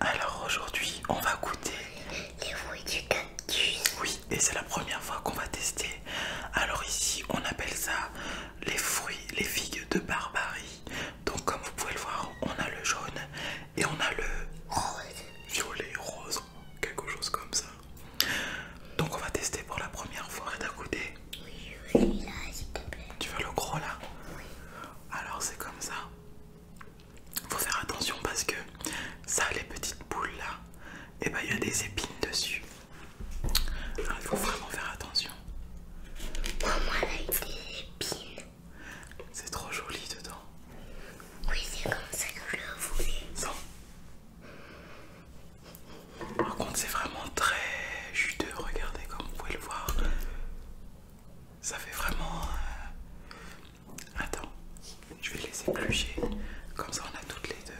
Alors aujourd'hui, on va goûter les fruits du cactus. Oui, et c'est la première fois qu'on va tester. Alors ici, on appelle ça les fruits, les figues de Barbarie. Donc comme vous pouvez le voir, on a le jaune et on a le violet, rose, quelque chose comme ça. Donc on va tester pour la première fois d'un côté. Oui, oui, là, s'il te plaît. Tu veux le gros là Oui. Alors c'est comme ça. Faut faire attention parce que ça, les petites boules là, et eh ben, il y a des épines dessus. Alors il faut vraiment faire attention. moi des épines. C'est trop joli dedans. Oui, c'est comme ça que je voulais. Par contre, c'est vraiment très juteux. Regardez comme vous pouvez le voir. Ça fait vraiment. Euh, attends, je vais laisser éplucher. Comme ça, on a toutes les deux.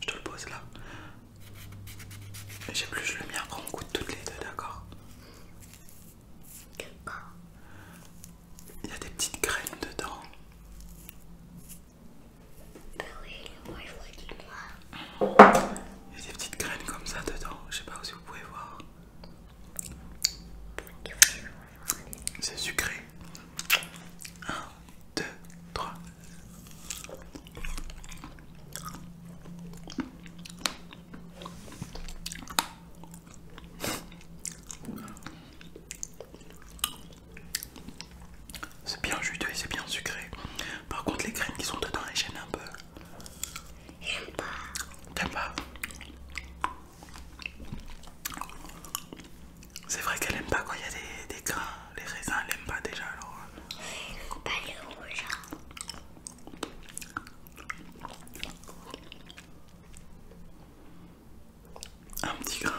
Je te le pose là. J'ai plus le mien quand on goûte toutes les deux, d'accord Il y a des petites graines dedans. Bah il y a des petites graines comme ça dedans. Je sais pas si vous pouvez voir. C'est sucré. 1, 2, 3. C'est bien juteux et c'est bien sucré. Par contre, les graines qui sont dedans, les gênent un peu. J'aime pas. T'aimes pas C'est vrai qu'elle aime pas quand il y a des, des grains les raisins elle aime pas déjà alors. Euh, pas les rouges. Hein. Un petit grain.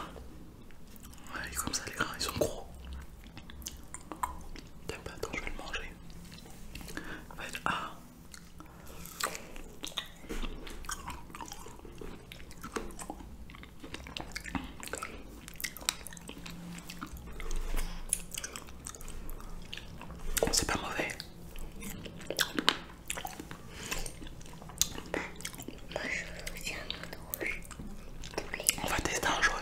Ouais, comme ça les grains ils sont gros. T'aimes pas attends je vais le manger. Va être ah. C'est pas mauvais. Moi je rouge. On va tester un jaune.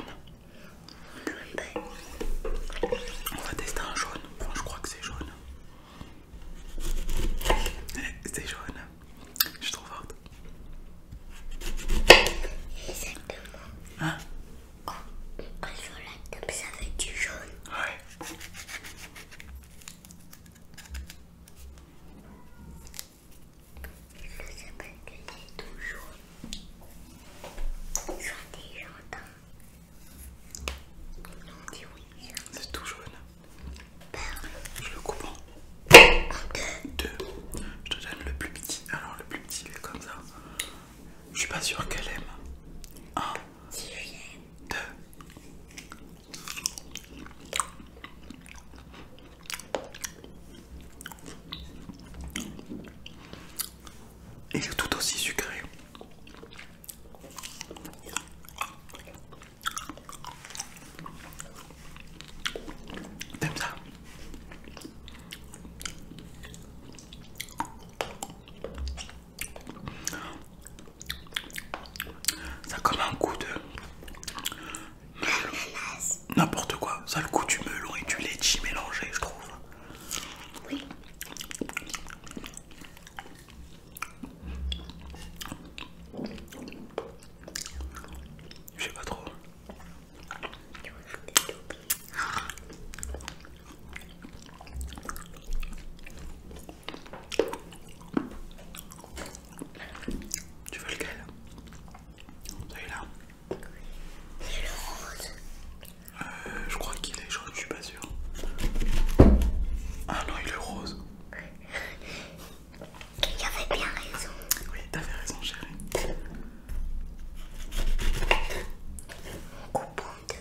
On va tester un jaune. Bon je crois que c'est jaune. C'est jaune. Je suis trop forte. Exactement. Hein oh, Un la comme ça fait du jaune. Ouais. Je sais pas que c'est tout jaune. Jaune des Non, On dit oui. C'est tout jaune. Bah, je le coupe en deux. Je te donne le plus petit. Alors le plus petit il est comme ça. Je suis pas sûr qu'elle aime. 1 Deux. Il est tout aussi sucré. T'aimes ça Ça a comme un goût de n'importe quoi. Ça le goût du melon et du qui mélangé, je trouve. Oui. Je sais pas trop. Tu veux lequel Celui-là C'est est rose. je crois qu'il est je suis pas sûr. Ah non, il est rose. Il avait bien raison. Oui, t'avais raison, chérie. On coupe en deux.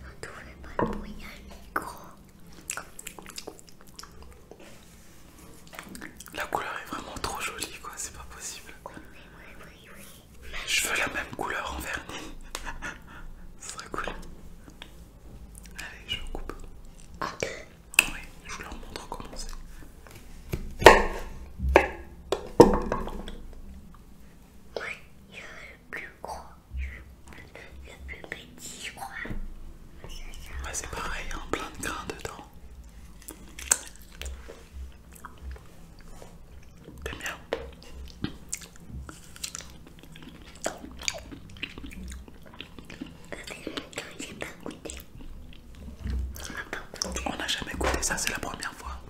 On ne fait pas le bruit à micro. La couleur est vraiment trop jolie, quoi. C'est pas possible. Oui, oui, oui, oui. Je veux la même couleur en vernis. Ce serait cool. Allez, je coupe. Ok. Ah. Oui, je vous le montre comment c'est. Oui, il y a le plus gros, le, le plus petit, je crois. Ouais, c'est pareil, il hein, plein de grains dedans. T'es bien on n'a jamais goûté ça, c'est la première fois.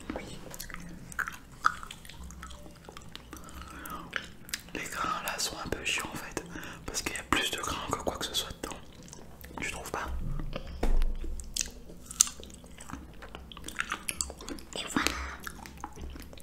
Les grains là sont un peu chiants en fait, parce qu'il y a plus de grains que quoi que ce soit dedans. Tu trouves pas Et voilà.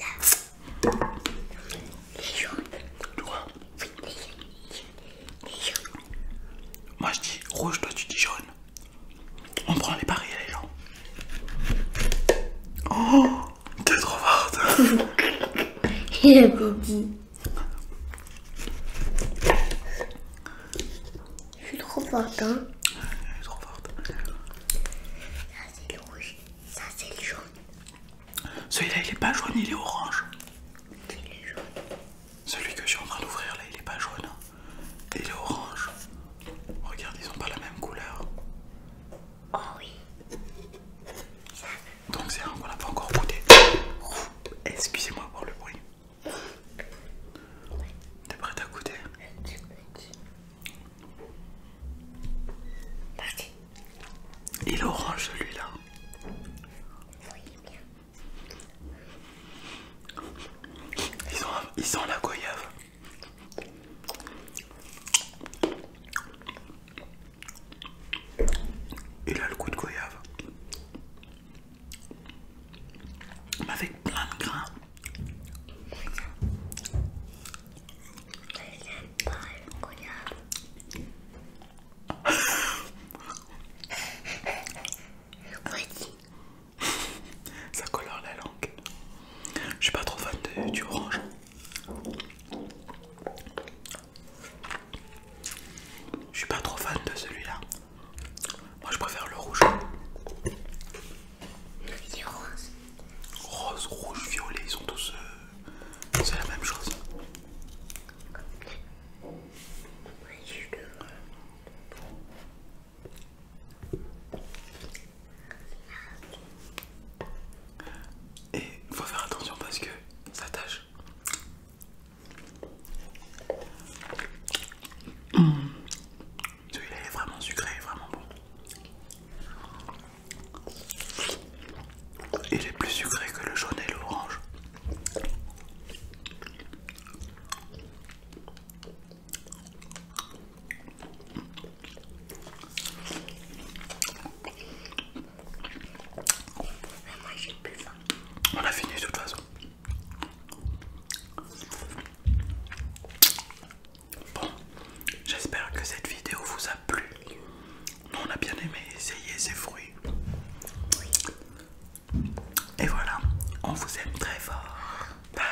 là. Les jaunes. Tu vois Oui, les jaunes. Moi je dis rouge, toi tu dis jaune. On prend les paris les gens. Oh T'es trop forte Et avait dit. Je suis trop forte hein. Je suis trop forte. Là ah, c'est le rouge. Ça c'est le jaune. Celui-là il est pas jaune, il est orange. Celui que je suis en train d'ouvrir là il est pas jaune. Hein. Il est orange. Regarde, ils ont pas la même couleur. Oh oui. Donc c'est un qu'on a pas encore goûté. Excusez-moi pour le bruit. T'es prête à goûter il est orange celui-là. Ils ont, la goyave. Il a le coup de goyave. avec plein de grains. Ça colore la langue. Je suis pas trop fan de, du orange. Je suis pas trop fan de celui-là. Moi je préfère le rouge. rose. Rose, rouge, violet, ils sont tous. Euh, c'est la même chose. Et il faut faire attention parce que ça tâche. Celui-là est vraiment sucré, vraiment bon. Il est plus sucré que le jaune et l'orange. On a fini de toute façon. Bon, j'espère que cette vidéo vous a plu. on a bien aimé essayer ces fruits. Et voilà, on vous aime très fort. Bye.